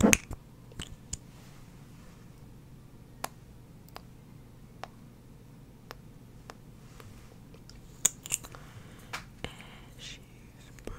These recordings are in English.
And she's broke.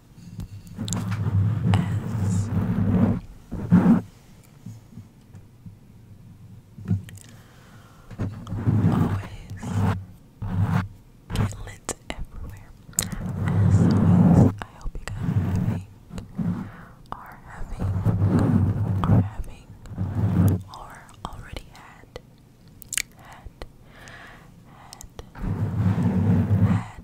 as always get lit everywhere as always I hope you guys are having are having are already had had had had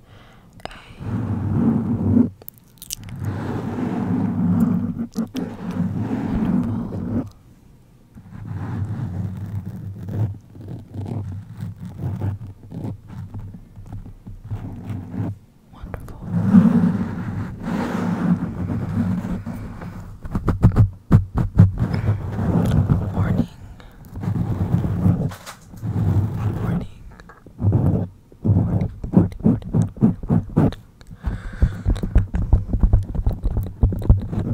wonderful, wonderful morning. Morning. Morning, morning, morning, morning, Can never be normal.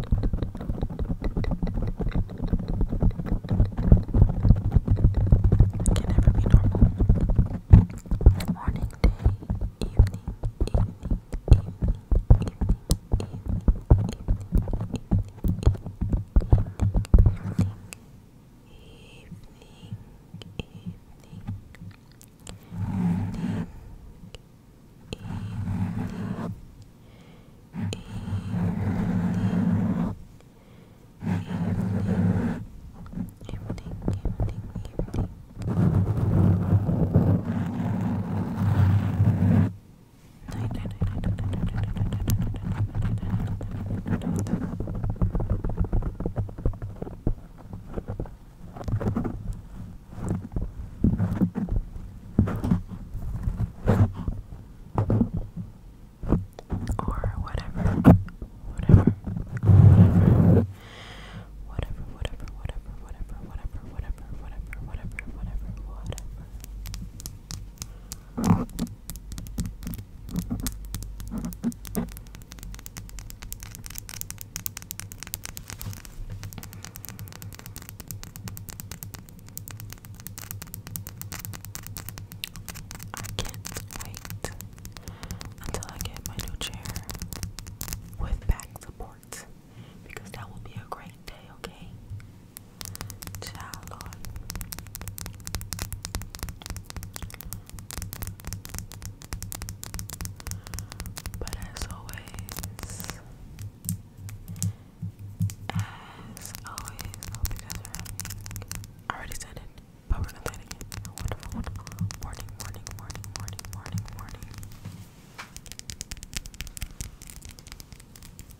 Morning, evening, evening, evening, evening, evening, evening, evening, evening, evening, evening. Evening. Evening. Evening, evening, evening. Or whatever, whatever, whatever, whatever, whatever, whatever, whatever, whatever, whatever, whatever, whatever, whatever, whatever. I can't wait until I get my new chair with back support because that will be a great day, okay? Charlotte but as always as always hope you are having already said it but we're gonna play it again wonderful wonderful morning morning morning morning morning morning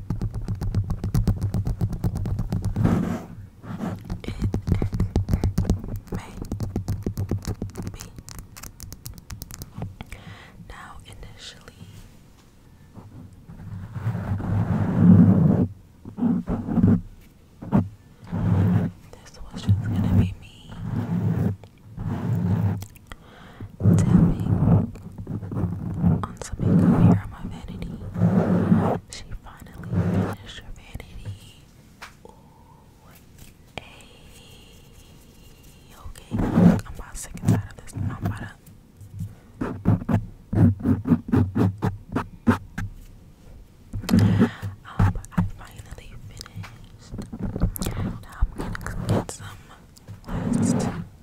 may be. Now, initially. This was just gonna be me tapping on some makeup here on my vanity. She finally finished her vanity. Ooh, hey. Okay, I'm about sick and tired of this. I'm about to. Um, I finally finished. Now I'm gonna get some last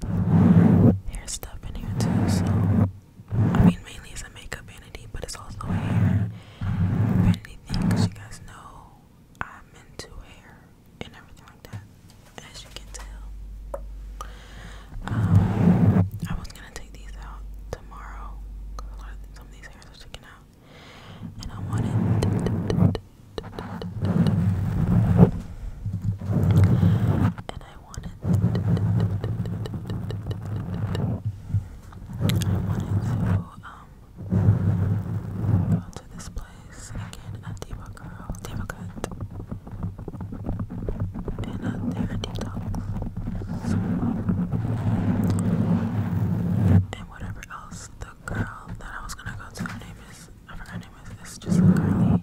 there's stuff in here too. So I mean, mainly it's a makeup vanity, but it's also a hair vanity thing. Cause you guys know I'm into hair and everything like that, as you can tell. Um, I was gonna take these out tomorrow. Cause a lot of some of these hairs are sticking out, and I wanted and I wanted I wanted to um go to this place again at Diva Girl Diva Cut and uh they are and whatever else the girl that I was gonna go to her name is I forgot name is it's just a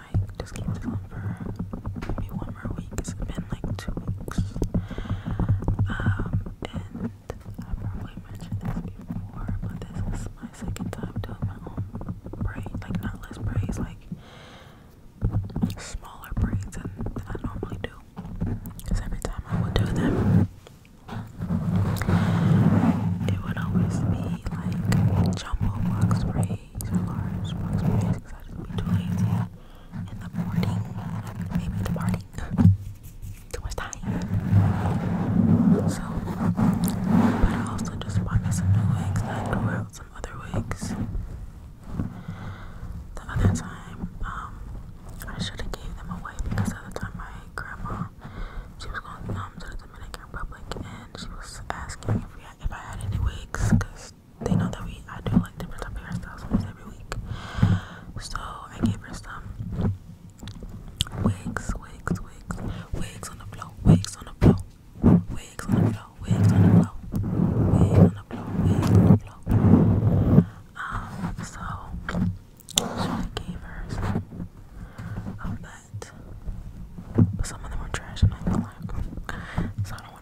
might just keep this one for maybe one more week. It's been like two weeks. Um, and I probably mentioned this before, but this is my second time doing my own braid. Like, not less braids, like smaller braids than I normally do. Because every time I would do them, it would always be like jumbo box braids I in the morning. maybe the morning. too much time. So, but I also just bought some new wigs I threw out some other wigs. The other time, um, I should have gave them away because at the time my grandma, she was going um, to the Dominican Republic and she was asking if, if I had any wigs because they know that we I do like different type of hairstyles every week. So I gave her some wigs, wigs, wigs, wigs on the floor, wigs on the floor, wigs on the floor, wigs on the floor, wigs on the floor, Um, so, I gave her some of but some of them were trash and I don't like so I don't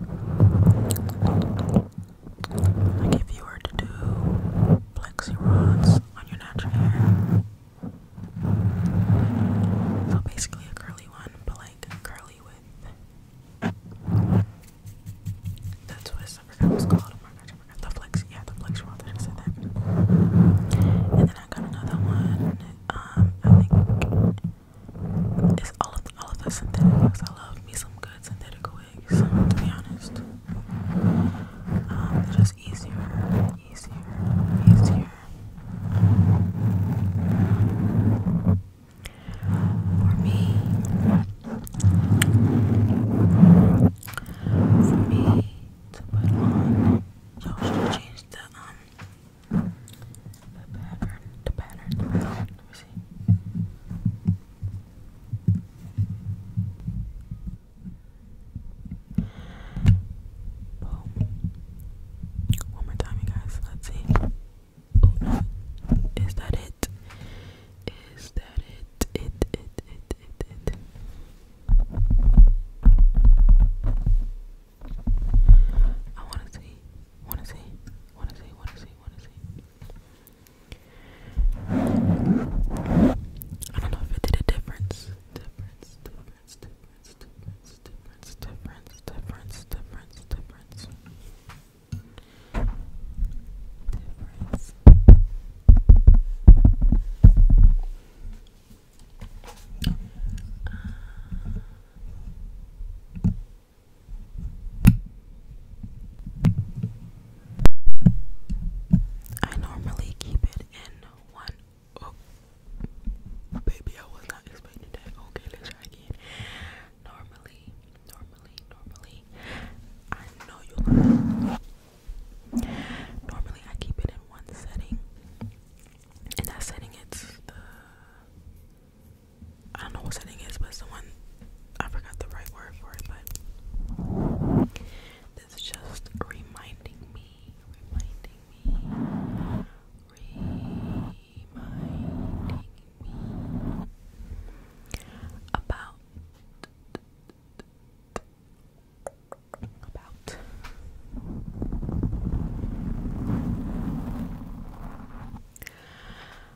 like if you were to do plexi rods on your natural hair. So basically a curly one, but like curly with that's what I forgot was called. Oh my gosh, I forgot the flex. Yeah, the flex rod. I said that. And then I got another one. Um, I think it's all of the, all of the synthetic wigs. I love me some good synthetic wigs, to be honest. Um, they're just easier, easier, easier. For me, for me to put on, y'all change the um the pattern, the pattern, Let me see. Boom. One more time, you guys. Let's see. Is that it? Is that it? It, it, it, it, it. I wanna see, wanna see, wanna see, wanna see really want I don't know if it did a difference. I normally keep it in one. Oh, baby, I was not expecting that. Okay, let's try again. Normally, normally, normally, I know you Normally, I keep it in one setting, and that setting it's the I don't know what setting is, but it's the one I forgot the right word for it, but this is just reminding me, reminding me, reminding me about about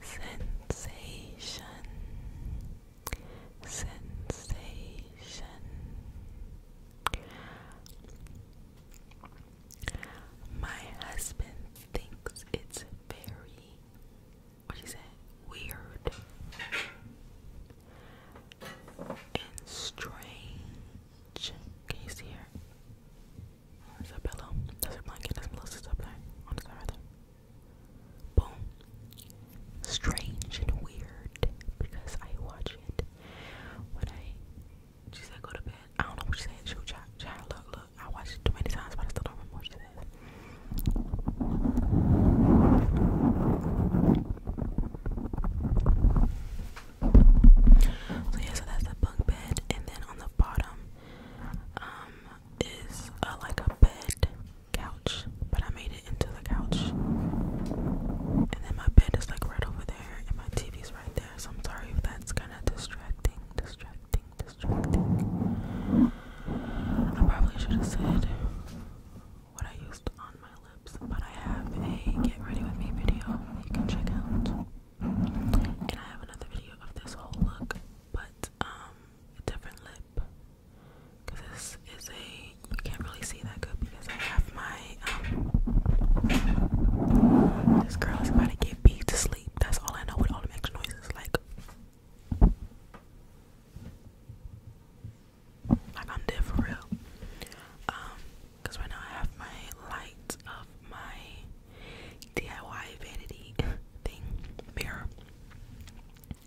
sensation sensation my husband thinks it's very what is it weird and strange can you see her there's a pillow. There's a blanket. There's Melissa's up there. On the side Boom. Strange and weird because I watch it when I. She said go to bed. I don't know what she said. She child, child. Look, look. I watched it too many times, but I still don't remember So yeah, so that's the bunk bed, and then on the bottom, um, is uh, like a bed couch, but I made it into the couch. And then my bed is like right over there, and my TV's right there. So I'm sorry if that's kind of distracting, distracting, distracting. I probably should have said what I used on my lips, but I have a get ready with me video you can check out. And I have another video of this whole look, but um a different lip because this is a you can't really see that good because I have my um, this girl is about to get beat to sleep. That's all I know with all the extra noises like like I'm dead for real. Um, cause right now I have my light of my DIY vanity thing mirror.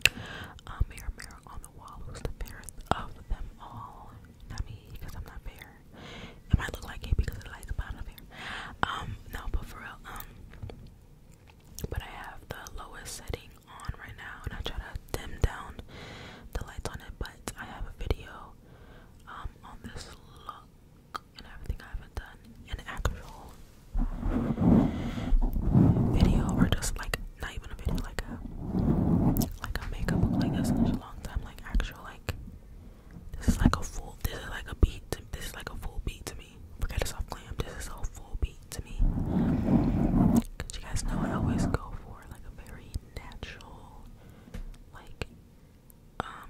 Uh, mirror, mirror on the wall, who's the fairest of them all? Not me, because I'm not fair. It might look like it because it lights up, I'm not um, no, but for real, um, but I have the lowest setting on right now, and I try to dim down the lights on it, but I have a video um, on this look and everything I haven't done an actual video or just like not even a video like a like a makeup look like this in such a long time like actual like this is like a full this is like a beat this is like a full beat to me forget a soft glam this is a full beat to me cause you guys know I always go for like a very natural like um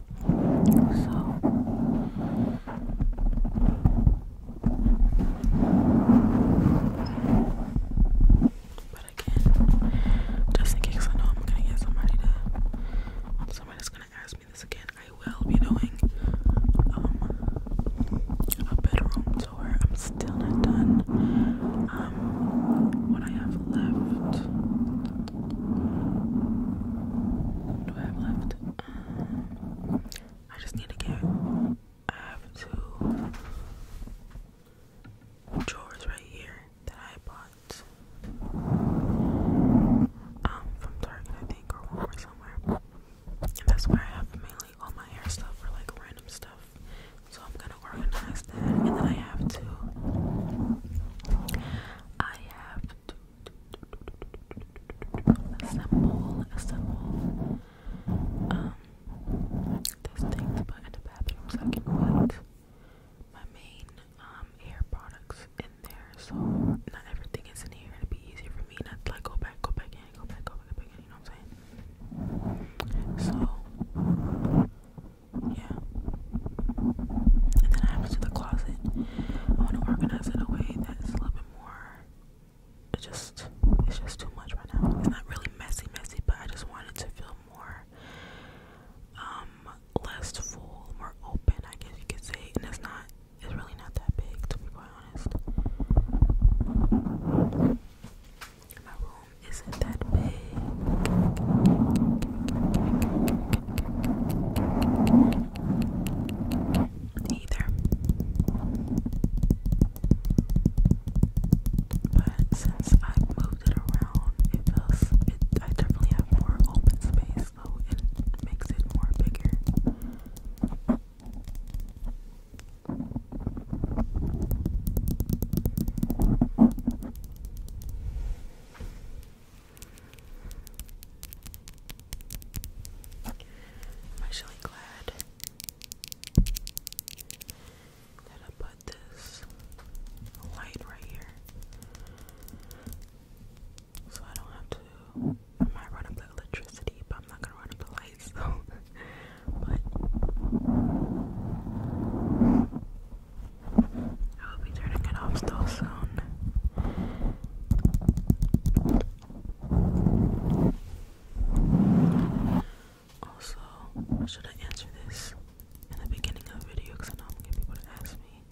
so but again, just in case I know I'm gonna get somebody to um, somebody's gonna ask me this again, I will be doing um, a bedroom tour. I'm still not done. Um, what I have left do I have left? Um, I just need to get. I have two drawers right here that I bought um from Target, I think, or Walmart somewhere. And that's where I have mainly all my hair stuff or like random stuff. So I'm gonna organize that, and then I have to. I have to assemble, um, this thing in the bathroom I can put my main um, hair products in there so not everything is in here. it be easier for me not to like go back, go back in, go back, go back, go back in, you know what I'm saying? So yeah. And then I have to the closet. I want to organize it in a way that's a little bit more. It's just, it's just too much right now. It's not really messy, messy, but I just wanted to feel more, um, less full, more open. I guess you could say, and it's not. It's really not that big, to be quite honest. My room isn't that big either. But since I moved it around, it feels I definitely have more open space though it makes it more bigger. I'm actually glad that I put this light right here so I don't have to. I might run up the electricity, but I'm not gonna run up the lights, so. but. I will be turning it off still soon. Also, should I answer this in the beginning of the video? Because I know people to ask me.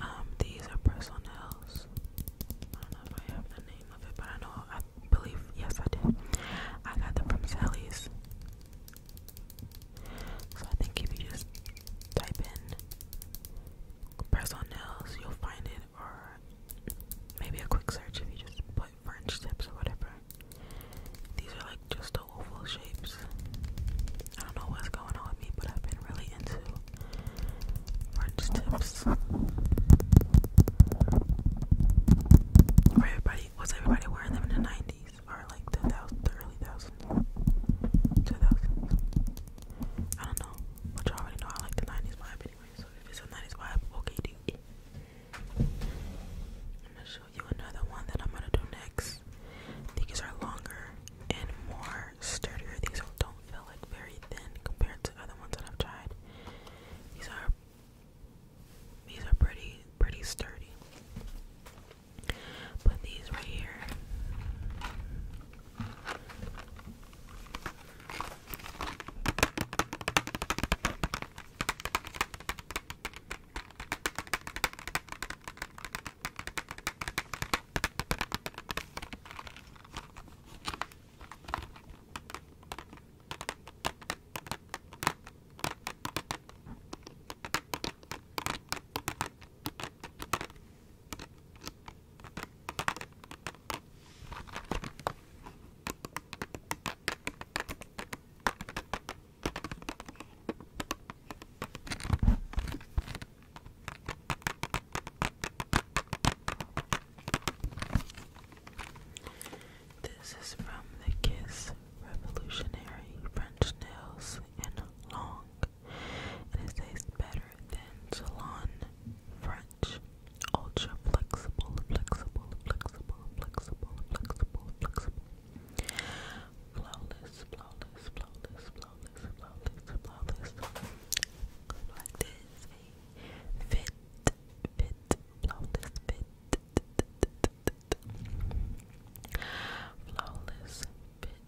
Um, these are personnels. I don't know if I have the name of it, but I know I believe yes I did. I got them from Sally's. So I think if you just type in personal nails, you'll find it, or maybe a quick search if you just put French tips or whatever. These are like just the oval shapes. I don't know what's going on with me, but I've been really into French tips. Were everybody was everybody wearing them in the nineties? 90s like the, early thousands, I don't know, but you already know I like the 90s vibe anyway. So if it's a 90s vibe, okay, do I'm gonna show you another one that I'm gonna do next. These are longer and more sturdier. These don't feel like very thin compared to other ones that I've tried. These are these are pretty pretty sturdy. Put these right here. This is from the Kiss Revolutionary French Nails in Long and it tastes better than Salon French. Ultra flexible, flexible, flexible, flexible, flexible, flexible. Flawless, flawless, flawless, flawless, flawless, flawless. Like this, a fit, fit, flawless, fit. Flawless, fit,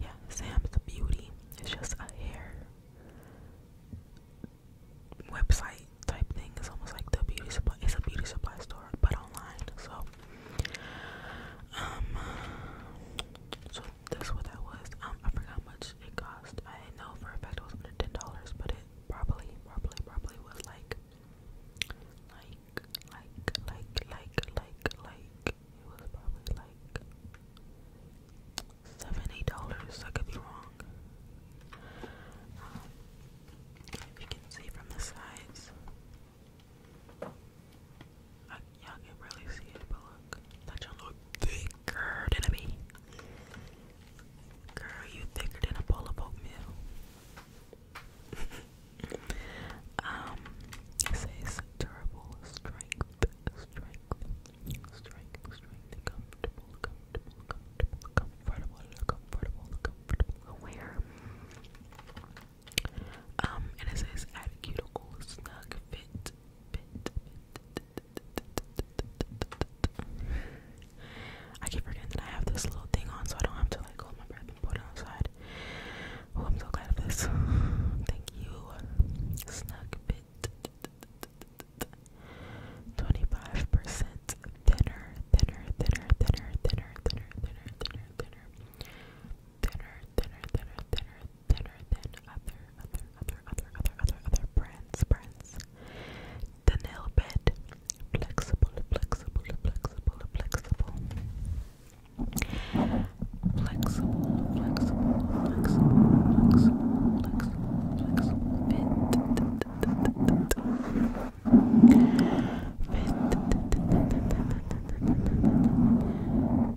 Yeah, Sam's the Beauty. It's just a hair website type thing. It's almost like the beauty supply. It's a beauty supply store, but online. So, um, so that's what that was. Um, I forgot how much it cost. I didn't know for a fact it was under ten dollars, but it probably, probably, probably was like like, like, like, like, like, it was probably like seventy dollars. I could be wrong. Um, if you can see from the sides, I, uh, y'all really see it, but look, that you look thicker than a bee. Girl, you thicker than a bowl of oatmeal um, it says terrible strength, strength, strength, strength, comfortable, comfortable, comfortable, comfortable, comfortable, aware. Um, and it says add snug, fit. I keep forgetting that I have this little thing on so I don't have to like hold my breath and put it on the side. Oh, I'm so glad of this. Thank you. Snug bit. 25% thinner, thinner, thinner, thinner, thinner, thinner, thinner, thinner, thinner. Thinner, thinner, thinner, thinner, thinner than other, other, other, other, other, other, other brands, brands. The nail bed, flexible, flexible, flexible, flexible. Flexible, flexible, flexible, flexible, flexible, flexible, fit. Fit.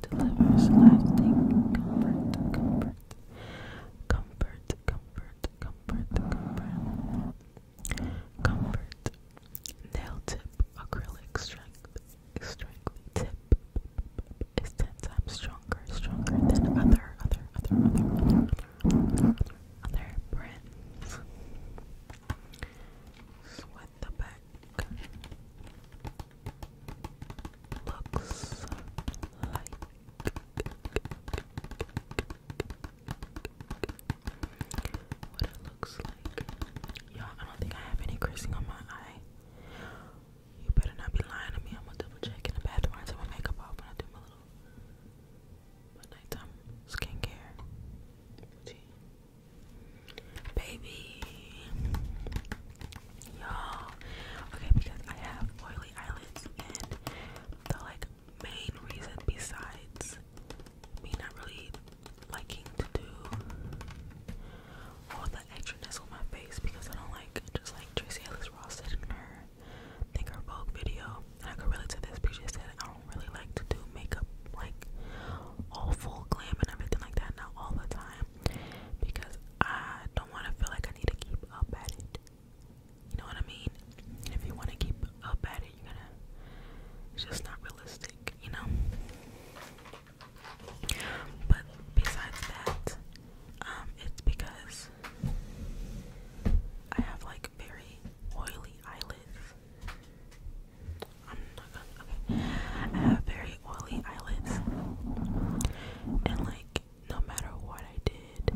Delivers lasting comfort, comfort, comfort, comfort, comfort, comfort. Nail tip acrylic strength strength tip is ten times stronger, stronger than other other other other other other brands. Sweat the back looks like what it looks y'all, I don't think I have any creasing on my eye. You better not be lying to me. I'm gonna double check in the bathroom. take my makeup off when I do my little nighttime skincare Baby, y'all. Okay, because I have oily eyelids, and the like main reason besides me not really liking to do all the extraness on my face because I don't like just like Tracy Ellis Ross said in her I Vogue video and I could relate to this because she said I don't really like to do makeup like all full glam and everything like that not all the time because I don't want to feel like I need to keep up at it. You know what I mean? And if you want to keep up at it, you're gonna. It's just not realistic, you know? But besides that, um, it's because I have like very oily eyelids. I'm not gonna, okay. I have very oily eyelids. And like, no matter what I did,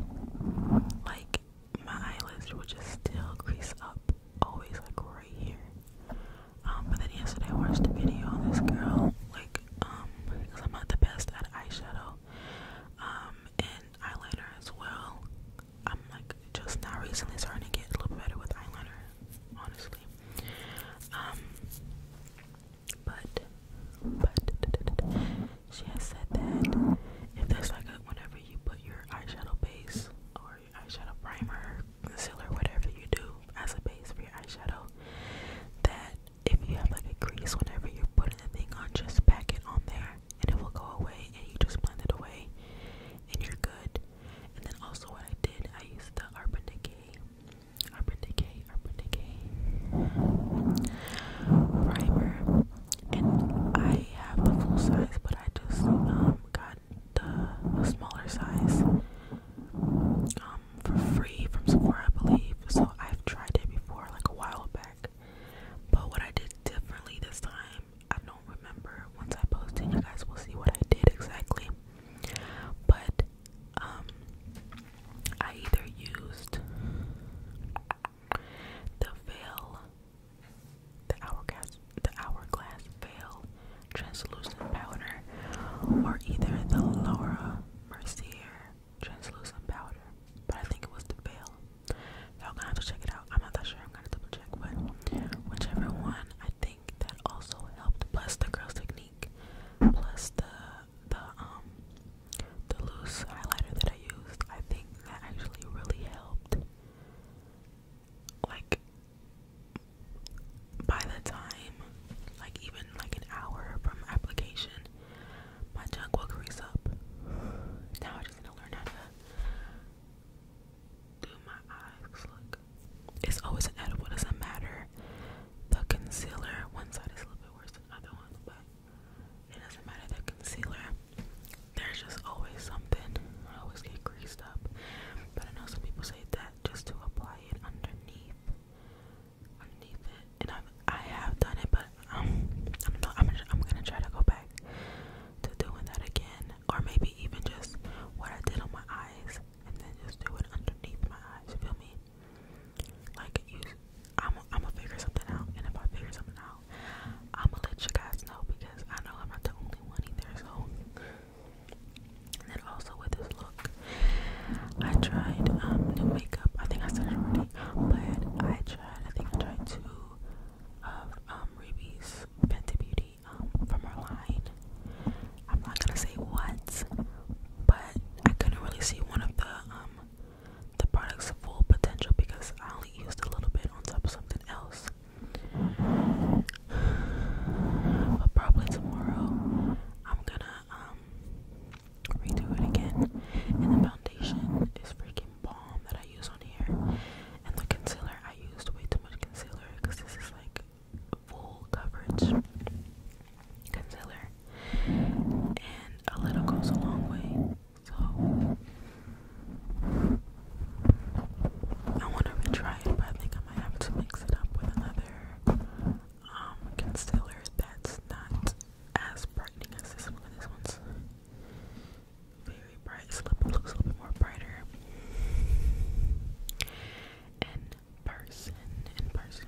like, my eyelids would just still crease up always like right here. Um, but then yesterday I watched a video on this girl, like, um, because I'm not the best at eyeshadow, um, and eyeliner as well. I'm like just now recently starting to get a little better with eyeliner, honestly. Um, but, but she has said that if there's like a whenever you put your eyeshadow base or eyeshadow primer, concealer, whatever you do as a base for your eyeshadow, that if you have like a crease whenever you're putting the thing on, just pack it on there and it will go away and you just blend it away and you're good. And then also what I did, I used the Urban Decay, Urban Decay, Urban Decay primer. And I have the full size, but I just um, got the smaller size um for free from Sephora, I believe. So I've tried it before, like a while back. But what I did differently this time, I don't remember. Once I post it, you guys will see what I did exactly. But um, I either used the veil, the hourglass the Hourglass Veil Translucent Powder, or either the Laura Mercier Translucent Powder. But I think it was the veil. Y'all gonna have to check it out. I'm not that sure. I'm gonna double check, but whichever one, I think that also helped. Plus the girls' technique, plus the the um the loose highlighter that I used. I think that actually really helped like by the time like even like an hour from application my junk will crease up. Now I just need to learn how to do my eyes look. It's always an edible, doesn't matter. The concealer, one side is a little bit worse than the other one, but it doesn't matter the concealer. There's just always something. I always get greased up. But I know some people say that just to apply it underneath underneath it and i I have done it but um I'm not I'm, I'm gonna try to go back to doing that again or maybe even just what I did on my eyes and then just do it underneath my eyes you feel me like use I'm I'm gonna figure something out and if I figure something out I'm gonna let you guys know because I know I'm not the only one either so and then also with this look, I tried um, new makeup. I think I said it already, but I tried. I think I tried two of um, Ruby's Beauty um, from her line. I'm not gonna say what, but I couldn't really see one of the um, the product's full potential because I only used a little bit on top of something else but probably tomorrow I'm gonna um, redo it again. And the foundation is freaking bomb that I use on here. And the concealer I used way too much concealer because this is like full coverage concealer. And a little goes a long way. So I want to retry it, but I think I might have to mix it up with another um, concealer that's not as brightening as this one. This one's very bright. looks a little bit more brighter. In person, in person.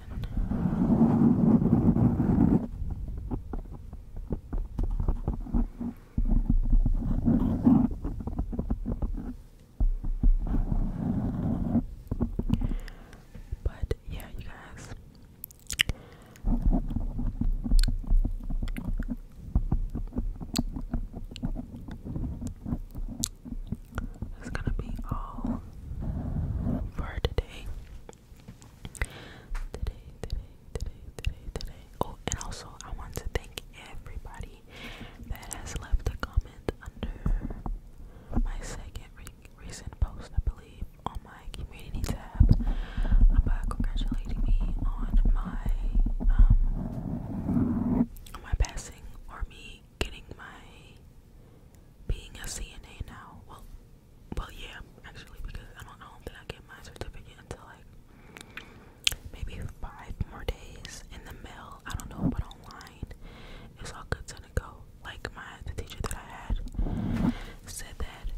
But yeah, you guys. That's gonna be all for today. Today, today, today, today, today. Oh, and also I want to thank everybody that has left a comment under my second recent post, I believe, on my community tab about congratulating me on my um my passing or me getting my being a CNA now. Well, well, yeah, actually, because I don't, I don't think I get my certificate until like maybe five more days in the mail. I don't know, but online it's all good to go. Like my the teacher that I had said that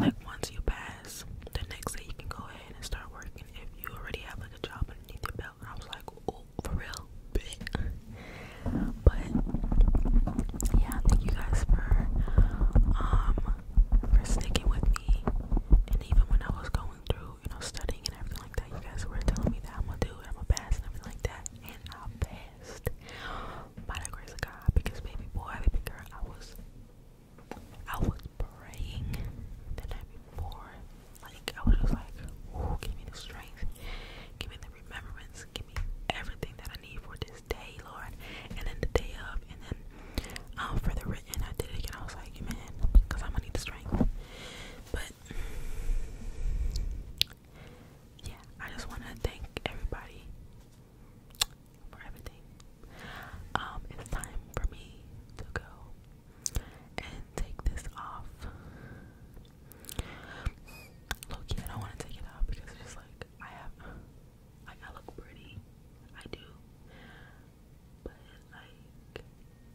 like once you pass, the next day you can go ahead and start working if you already have like a job underneath your belt. And I was like, oh, for real, But yeah, thank you guys for um for sticking with me. And even when I was going through you know, studying and everything like that, you guys were telling me that I'm gonna do it, I'm gonna pass and everything like that, and I passed by the grace of God because baby boy, baby girl, I was I was praying the night before. Like I was just like, Ooh, give me the strength, give me the remembrance, give me everything that I need for this day, Lord. And then the day of and then um, for the written I did it again. I was like, man, because I'm gonna need the strength. But yeah, I just want to thank everybody for everything. Um, it's time for me to go and take this off. Look, I don't want to take it off because it's just like I have, like, I look pretty. I do. But, like,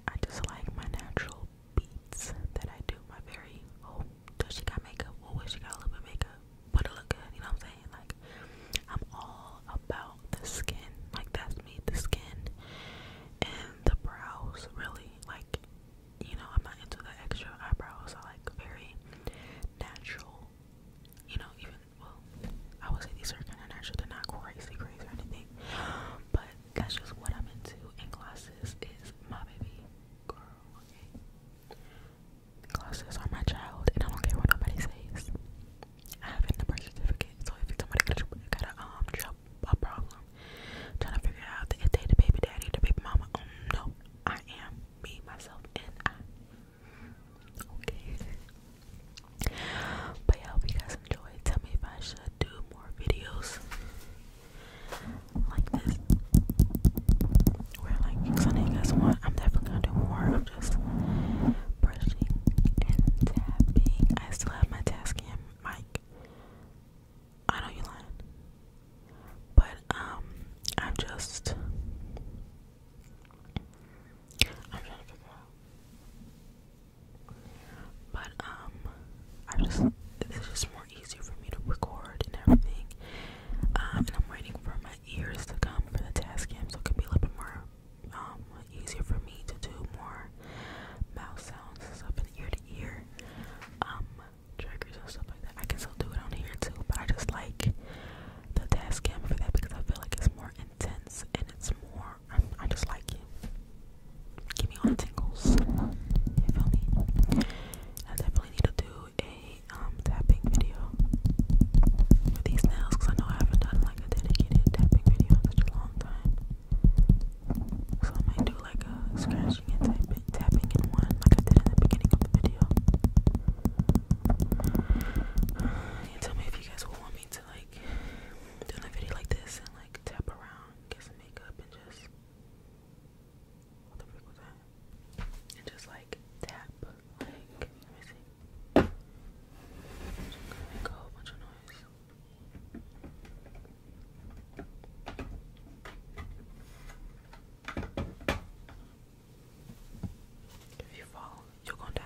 I just like my natural beats that I do. My very oh, does she got makeup? Oh, well, she got a little bit makeup, but it look good. You know what I'm saying? Like, I'm all about the skin. Like that's me, the skin and the brows. Really, like, you know, I'm not into the extra eyebrows. I like very natural. You know, even well, I would say these are kind of natural. They're not crazy, crazy or anything, but that's just what I'm into. And glosses is my baby girl, okay? are my child, and I don't care what nobody says. I have it birth certificate, so if somebody got a, um job, a problem, trying to figure out if they the baby daddy, the baby mama, um, no, I am me, myself, and I. Okay. But hope you guys enjoyed. Tell me if I should do more videos like this. Where like something you guys want, I'm definitely gonna do more of just brushing and tapping. I still have my Tascam mic. I know you lying. But um I'm just I'm trying to figure out but um, I just it's just more easier for me to record and everything. Um, and I'm waiting for my ears to come for the task cam, so it can be a little bit more um, easier for me to do more mouse sounds and stuff and ear to ear um and stuff like that. I can still do it on here too, but I just like the task cam for that because I feel like it's more intense and it's more. I just like it give me all the tingles. You feel me? I definitely need to do a um tapping video for these nails because I know I haven't done like a dedicated tapping video in such a long time. So I might do like a scratching and tapping, tapping in one, like I did in the beginning of the video. And tell me if you guys will want me to like do a video like this and like tap around, get some makeup, and just what the frick that? And just like tap, like, let me make a whole bunch of noise. If you fall, you're gonna die.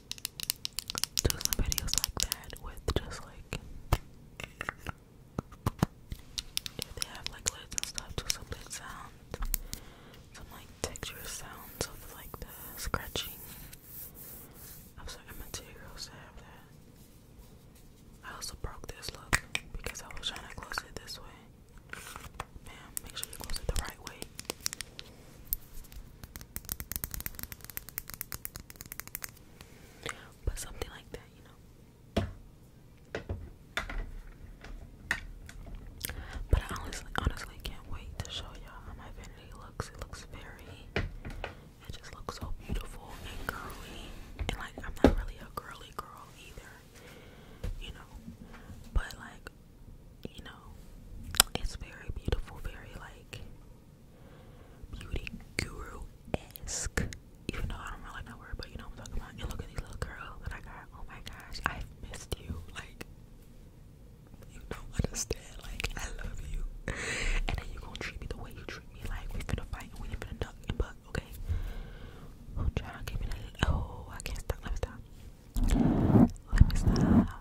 do some videos like that with just like if they have like lids stuff, do some lid sounds, some like texture sounds of like the scratching of certain materials to have that. I also broke this look because I was trying to close it this way. Ma'am, make sure you close it the right way. But something like that, you know. But I honestly, honestly can't wait to show y'all how my vanity looks. It looks very, it just looks so beautiful and girly. And like, I'm not really a girly girl either, you know. But like, you know, it's very beautiful, very like beauty guru-esque. Even though I don't really like that word, but you know what I'm talking about. And look at these little girls that I got. Oh my gosh, I've missed you. Like you don't understand. Like I love you. And then you gonna treat me the way you treat me. Like we finna fight and we ain't finna duck and buck, okay? Oh child, give me that. Oh, I can't stop. Let me stop. Let me stop.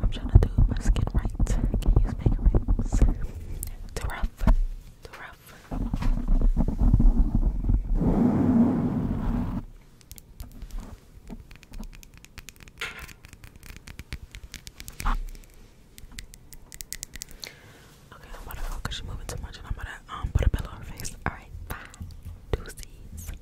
I'm trying to do my skin right. can use makeup rings. Too rough. Too rough. Okay, I'm she's moving too much and I'm gonna um put a pillow on her face. Alright, bye. Doozies.